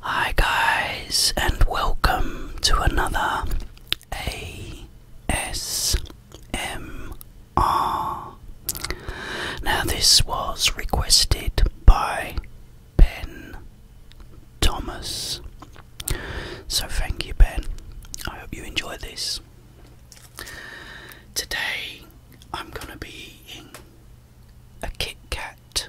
Hi guys and welcome to another ASMR. Now this was requested by Ben Thomas. So thank you Ben. I hope you enjoy this. Today I'm going to be eating a Kit Kat.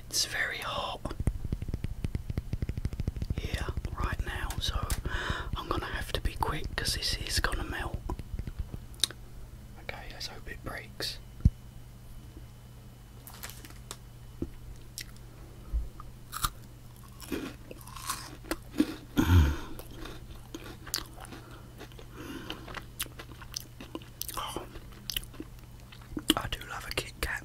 it's very hot here right now, so I'm gonna have to be quick because this is gonna melt. Okay, let's hope it breaks. Oh, I do love a Kit Kat.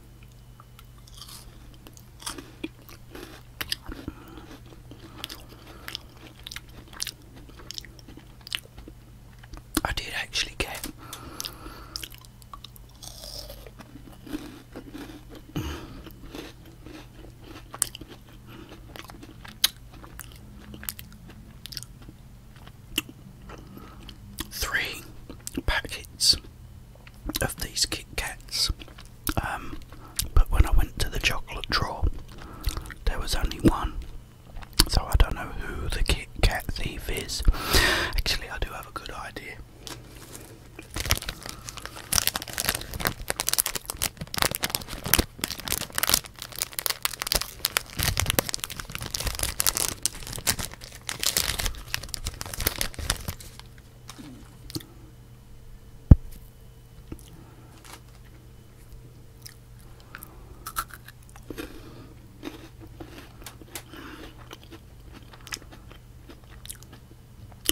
I did actually get three packets of these Kit Kats. Um, but when I went to the chocolate drawer, there was only one. So I don't know who the Kit Kat thief is. Actually, I do have a good idea.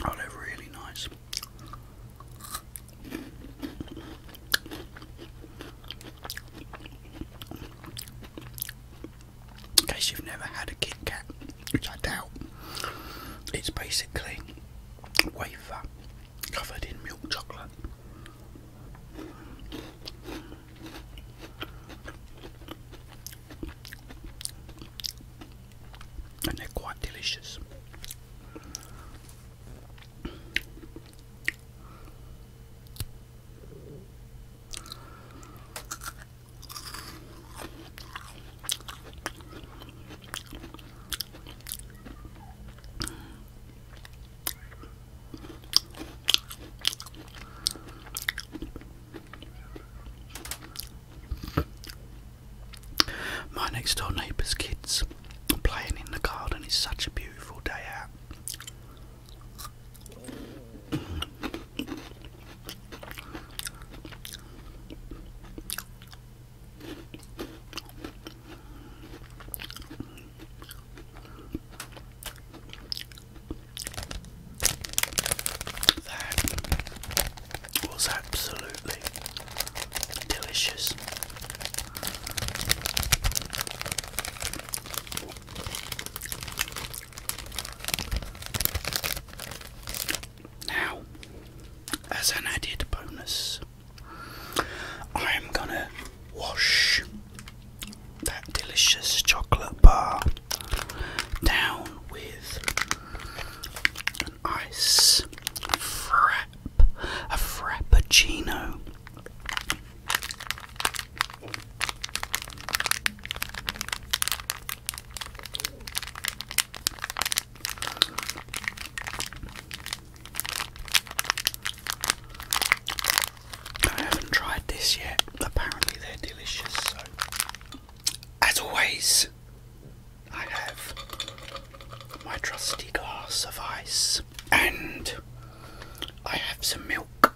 Oh, they're really nice. In case you've never had a Kit Kat, which I doubt, it's basically a wafer covered in milk chocolate. And they're quite delicious. My next door neighbour's kids are playing in the garden. It's such a beautiful day out. That was absolutely delicious. Now, as an added bonus, I am gonna wash that delicious chocolate bar down with an ice frap, a frappuccino. I haven't tried this yet. Apparently, they're delicious. So, as always, I have my trusty glass of ice and I have some milk.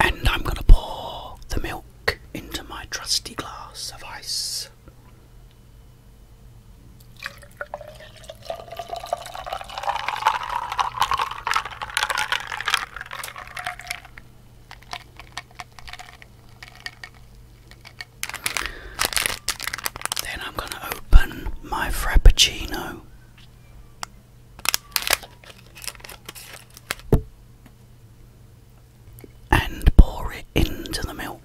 And I'm going to pour the milk into my trusty glass of ice. Then I'm going to open my Frappuccino. And pour it into the milk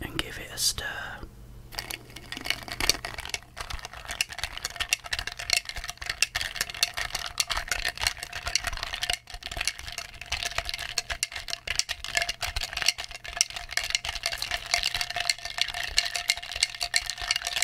and give it a stir.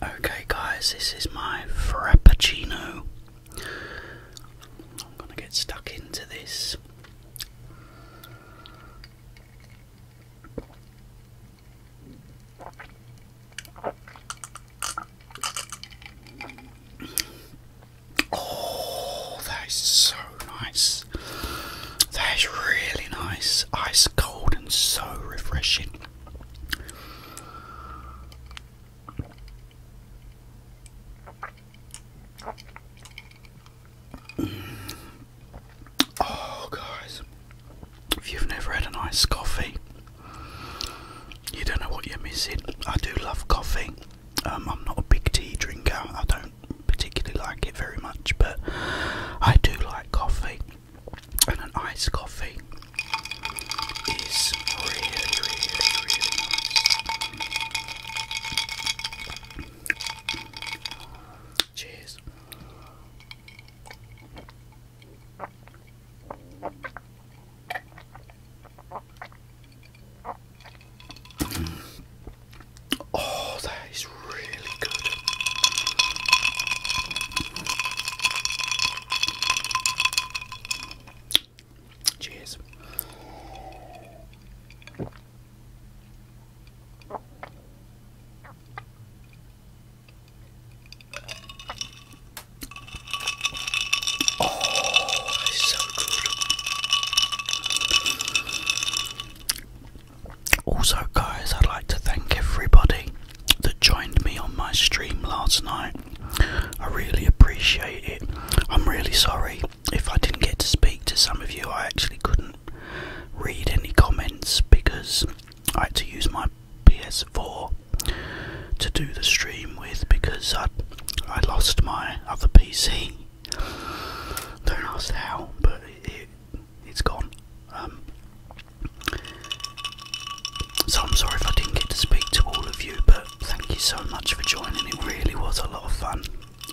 Okay, guys, this is my frappuccino. I'm gonna get stuck into this. Oh, that is so nice. That is really nice. Ice cold and so refreshing. Oh, guys, if you've never had an iced coffee, you don't know what you're missing. I do love coffee. Um, I'm not a big tea drinker. I don't particularly like it very much, but I do like coffee. And an iced coffee is really, really, really nice. Cheers. Oh, that is really good. Cheers. Oh, it's so good. Also, guys, I'd like to thank everybody that joined me on my stream last night. I really appreciate it. I'm really sorry if I didn't get to speak to some of you. I actually couldn't read any comments because I had to use my PS4 to do the stream with because I I lost my other PC. Don't ask how, but it, it has gone. Um, so I'm sorry if I didn't get to speak to all of you, but thank you so much for joining. It really was a lot of fun.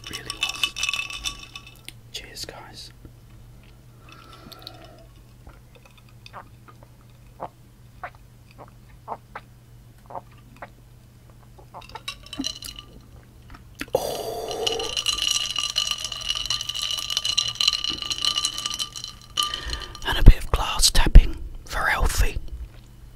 really was. Cheers, guys. And a bit of glass tapping for Elfie.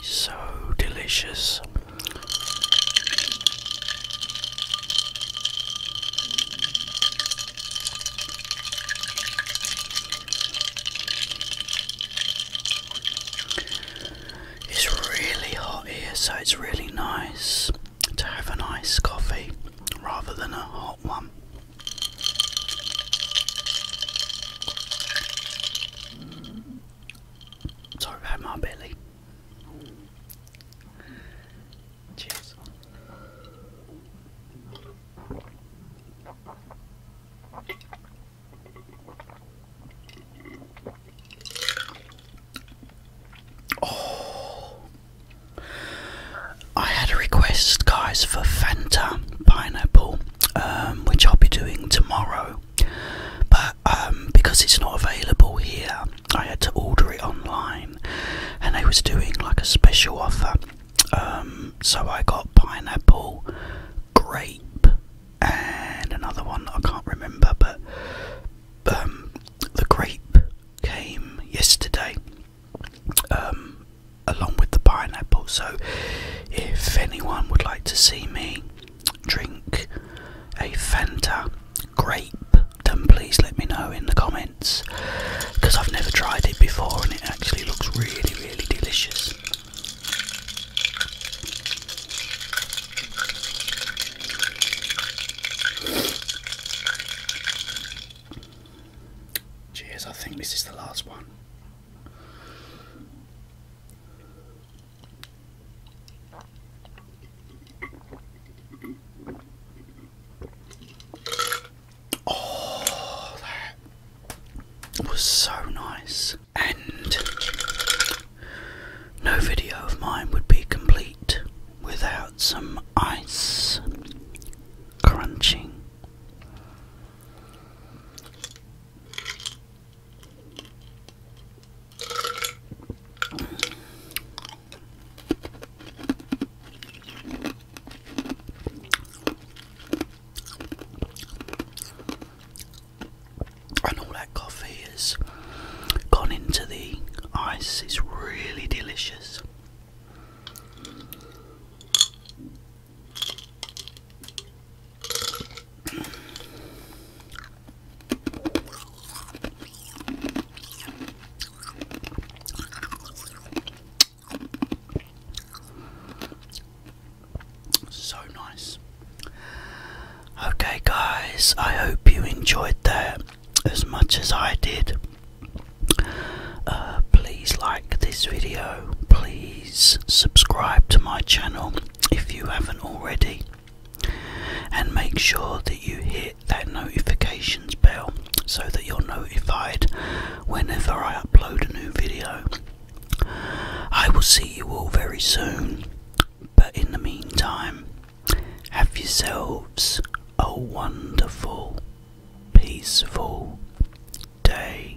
so delicious. It's really hot here, so it's really nice to have a nice coffee rather than a hot one. Sorry about my belly. Cheers. Oh, I had a request, guys, for Fanta pineapple, um, which I'll be doing tomorrow. But um, because it's not available here, I had to order it online, and they was doing like a special offer. Um, so I got pineapple, grape, and another one I can't remember, but the grape came yesterday. Um, along with the pineapple. So, if anyone would like to see me drink a Fanta grape, then please let me know in the comments because I've never tried it before and it actually looks really, really delicious. Cheers, I think this is the last one. Oh, that was so nice. And no video of mine would be complete without some ice crunching. And all that coffee has gone into the ice, it's really delicious. So nice. Okay, guys, I hope you enjoyed that as much as I did. Uh, please like this video, please subscribe to my channel if you haven't already, and make sure that you hit that notifications bell so that you're notified whenever I upload a new video. I will see you all very soon, but in the meantime, have yourselves a wonderful, peaceful day.